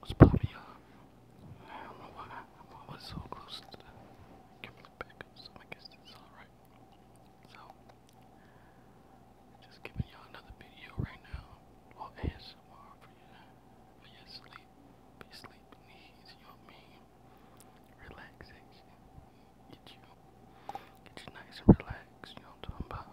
What's poppin', you I don't know why I'm so close to the camera back, I guess it's alright. So, just giving y'all another video right now. Well, ASMR for you, for your sleep, for your you know what I mean? Relaxation. Get you, get you nice and relaxed, you know what I'm talking about?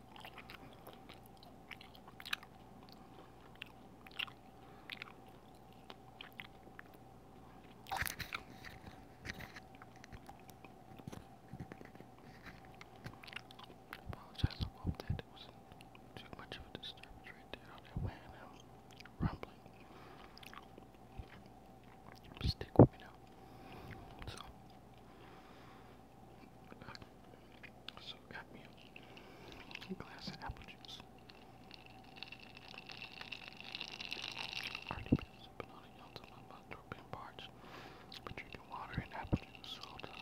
apologize, I that it wasn't too much of a disturbance right there that way rumbling. Stick with me now. So so got me a glass of apple juice. Already been sipping on it, y'all till my mouth throat been parched. But drinking water and apple juice, so hold up.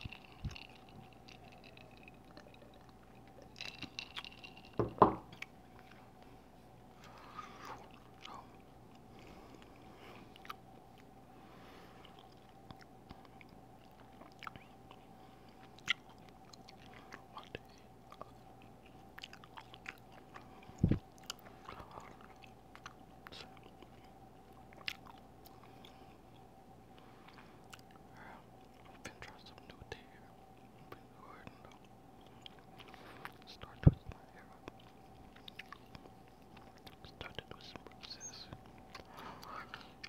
Oh. I've been trying some new tea here. I've been recording though. Start twisting my hair up. Started with some roses.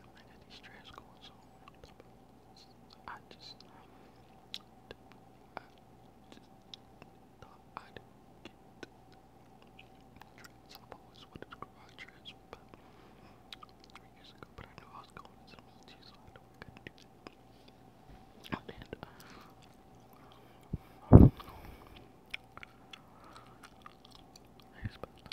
I got these trash going so I just I just thought I'd get I've always wanted to grow out trash for three years ago, but I knew I was going into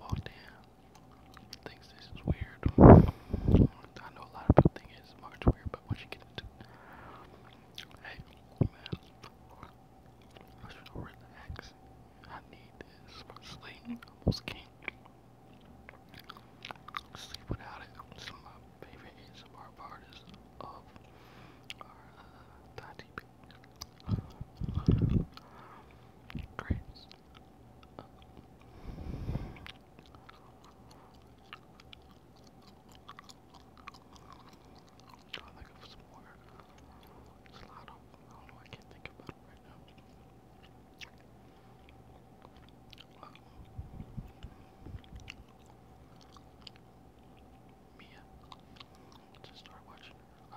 Walked Thinks this is weird. I know a lot of people think it's much weird, but once you get into Hey, man. I should relax. I need this for sleep. I almost can't sleep without it. Some of my favorite ASMR of our uh, Great. I'll some more. There's a lot I don't know I can't think about it right now. Mia. just start watching uh,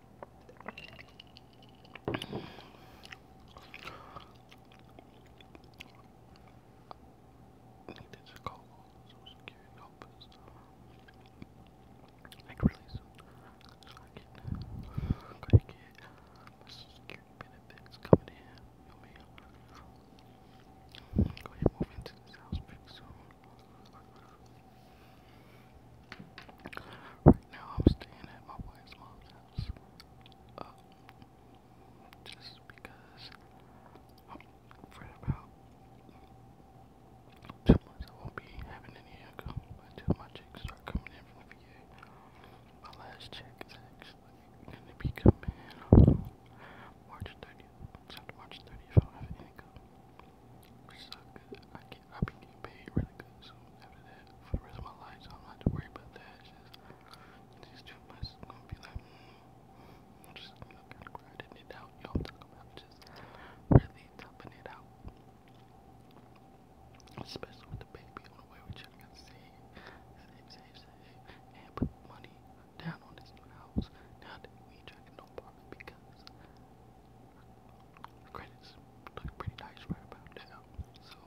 needed to call all the social security like really soon so I can, I can get my coming in, you me. I'm move into this house pretty soon. Right now, I'm staying at my wife's mom's house. Um, just because I'm afraid about two months I won't be having any income until my checks start coming in from the VA. My last check is actually going to be coming in March 30th. It's March 30th, I don't have any income. Which is get, I've getting paid really good, so after that, for the rest of my life, I'm not to worry about that. just, it's just too much. gonna be like, mm, just you kind of grinding it out. Y'all you about just really topping it out, especially with the baby on the way. We're trying to save, save, save, save, and put money down on this new house. Now that we ain't trying no apartment because Credits look pretty nice right about now, so. so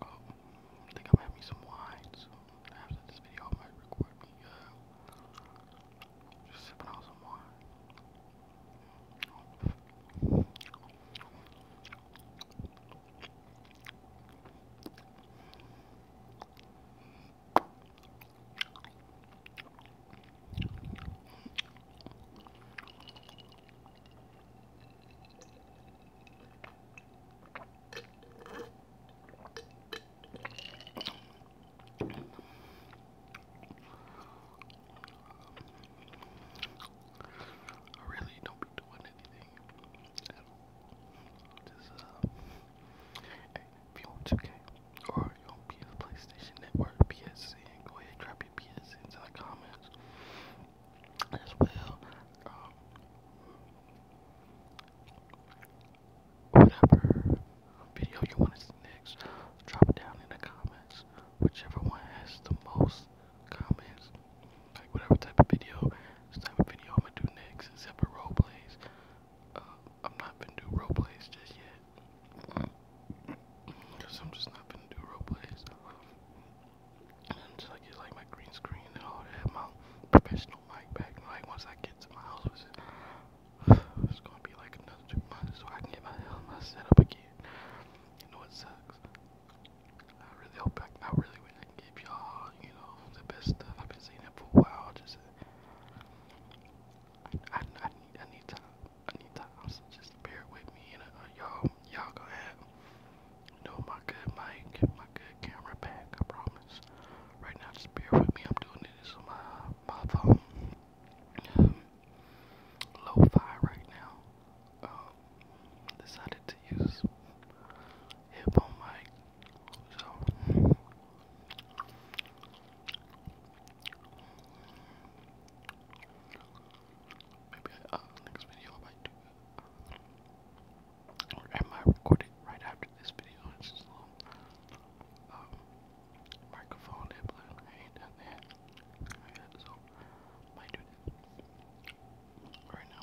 I think I'm going some wine, so after this video I might record me, uh, sipping on some wine. I really don't be doing anything. Just, uh, if you want 2K or you want PS PlayStation Network, PSN, go ahead, drop your PSN into the comments as well. Um, whatever video you want to see next, drop it down in the comments. Whichever one has the most comments, like whatever type of video, this type of video I'm gonna do next, except for role plays. Uh, I'm not gonna do role plays just yet, cause I'm just not gonna do role plays until I get like my green screen and all that, my professional mic back. And, like once I get to my house, it's gonna be like another two months so I can get my my setup again. You know it sucks. I really hope I, I really wish I could give y'all, you know, the best stuff. I've been seeing it for a while. Just uh, I, I, I need I need time. I need time. So just bear with me, and uh, y'all y'all gonna have you my good mic, my good camera back. I promise. Right now, just bear with me. I'm doing this on my my phone. Um, Lo-fi right now um, decided to use hip mic. So maybe uh, next video I might do uh, it. Or am I recording right after this video? It's just a little um, microphone I ain't done that. So might do that. Right now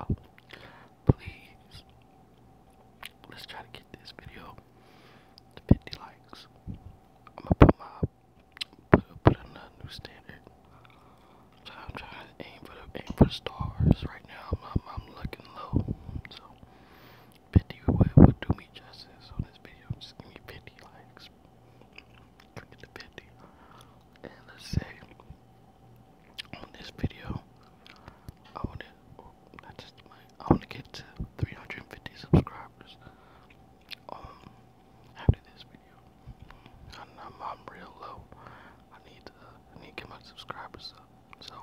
Oh, please. Let's try to get this video to 50 likes. I'm gonna put my put put another new standard. I'm trying to aim for the aim for the stars right now. I'm looking low, so 50 would do me justice on this video. Just give me 50 likes drinking the 50. And let's say on this video, I want to, oh, just my, I want to get to 350 subscribers. Um, after this video, I'm, I'm, real low. I need to, I need to get my subscribers up. So,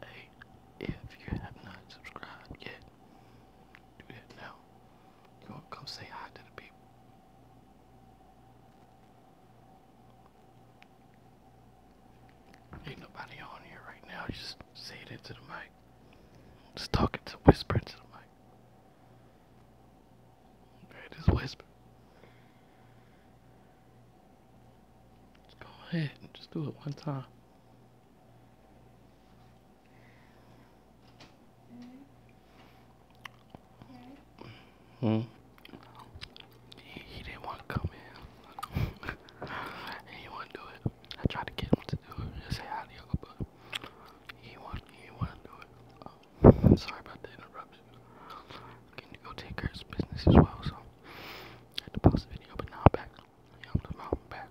hey, if you have not subscribed yet, do that now. You gonna come say hi to the people. Ain't nobody on here right now. just say it into the mic. Just talking to whisper into the mic. just whisper. Just go ahead and just do it one time. Hmm. He, didn't want to come in. he want to do it. I tried to get him to do it. Just say hi to y'all, he want he want to do it. Um, sorry about the interruption. Can you go take care of his business as well? So had to pause the video, but now I'm back. I'm, I'm back.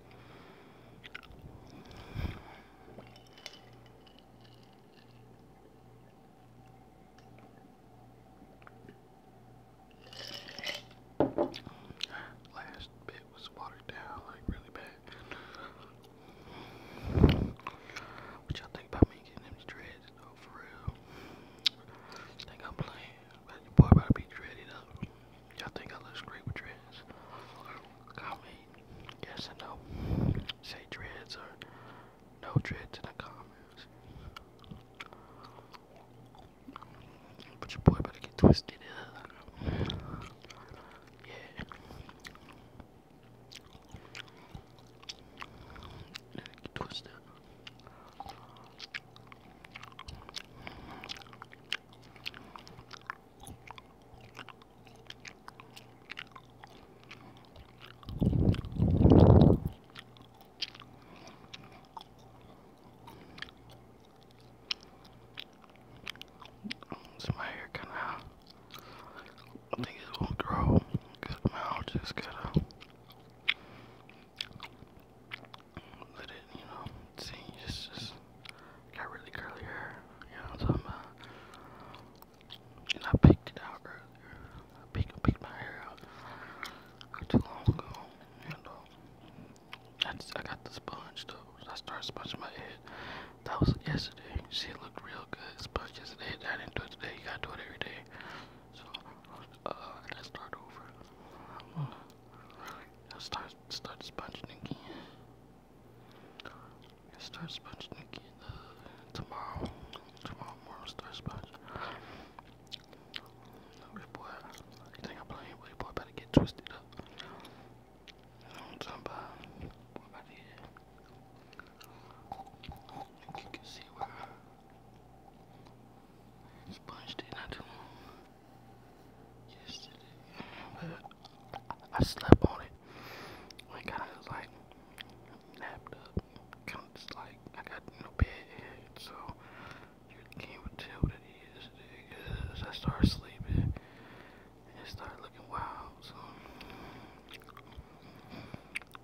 Last bit was watered down like really bad. What y'all think about me getting them dreads though for real? Think I'm playing. Your boy about be dreaded up. Y'all think I look great with dreads? Comment yes or no. Say dreads or no dreads in the comments. But your boy better get twisted Yeah. get twisted so my hair kind of, I think it won't grow because my hair just kind of let it, you know, see, just, just got really curly hair, you know what I'm talking about? And I picked it out earlier, I picked, picked my hair out too long ago, and um, I, just, I got the sponge though, I started sponging my head, that was yesterday, She looked real good, sponge yesterday, I didn't do it today, you gotta do it every day, so, uh, I got start over. Now start start sponging again. Start sponging again uh, tomorrow. Tomorrow morning start sponging. Boy, you think I'm playing, but boy better get twisted up. I'm talking about? Boy, about to You can see where sponged it not too long yesterday, but I slept on it. I kind of was like napped up, kind of just like I got no bed, so you can't even tell what it is because I started sleeping and started looking wild. So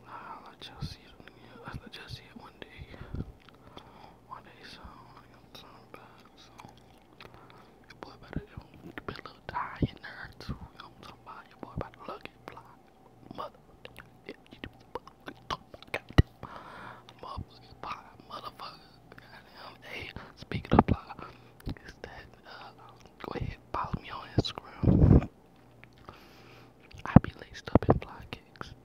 I'll let y'all see it. Yeah, I'll let y'all see it one day. One day, so I'm gonna get some back. So. Your boy better you be a little tired in I'm talking about? Your boy about to look and fly. Motherfucker. Yeah, you do motherfucking talk about Motherfucking fly. Motherfucker. Goddamn. Hey, speaking of fly, uh, go ahead follow me on Instagram. I be laced up in fly kicks.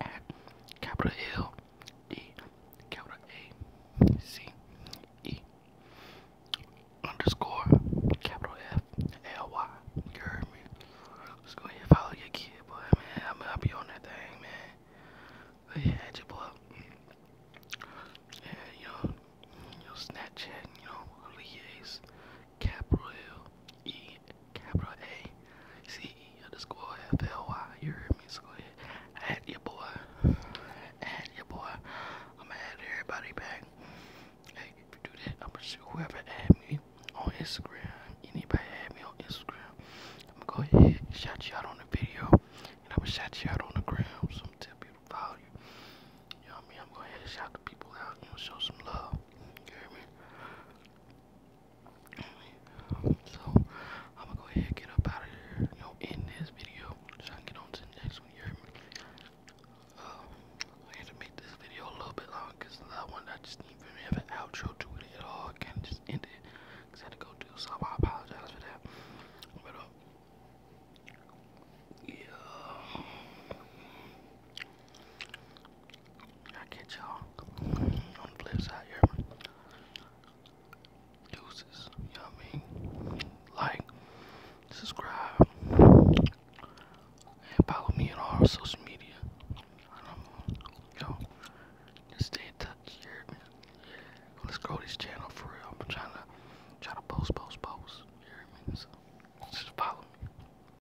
at capital L E capital A C E underscore capital F L Y. You heard me? Let's go ahead and follow your kid, boy. Man, I mean, I'll be on that thing, man. Go your boy. Yeah, you your Snapchat, you know, Lea's capital L E capital A C E underscore F L Y. You heard me, so go ahead. Add your boy. Add your boy. I'ma add everybody back. Hey, if you do that, I'm gonna sure whoever add me on Instagram, anybody add me on Instagram, I'm gonna go ahead and shout you out on the video, and I'm gonna shout you out on the gram, so I'm gonna tell people to follow you. You know what I mean? I'm gonna go ahead and shout the people out, you know, show some love. You hear me? so I'm gonna go ahead and get up out of here. You know, end this video. Try to get on to the next one. You hear me? Uh, I had to make this video a little bit long because that one I just didn't even have an outro to it at all. I kind of just ended because I had to go do something. I apologize for that. But, uh, yeah. I catch y'all on the flip side here. Deuces, you know mean? Like, subscribe, and follow me on all social media. I Just stay in touch here, Let's grow this channel for real. I'm trying to, post, post, post. You just follow me.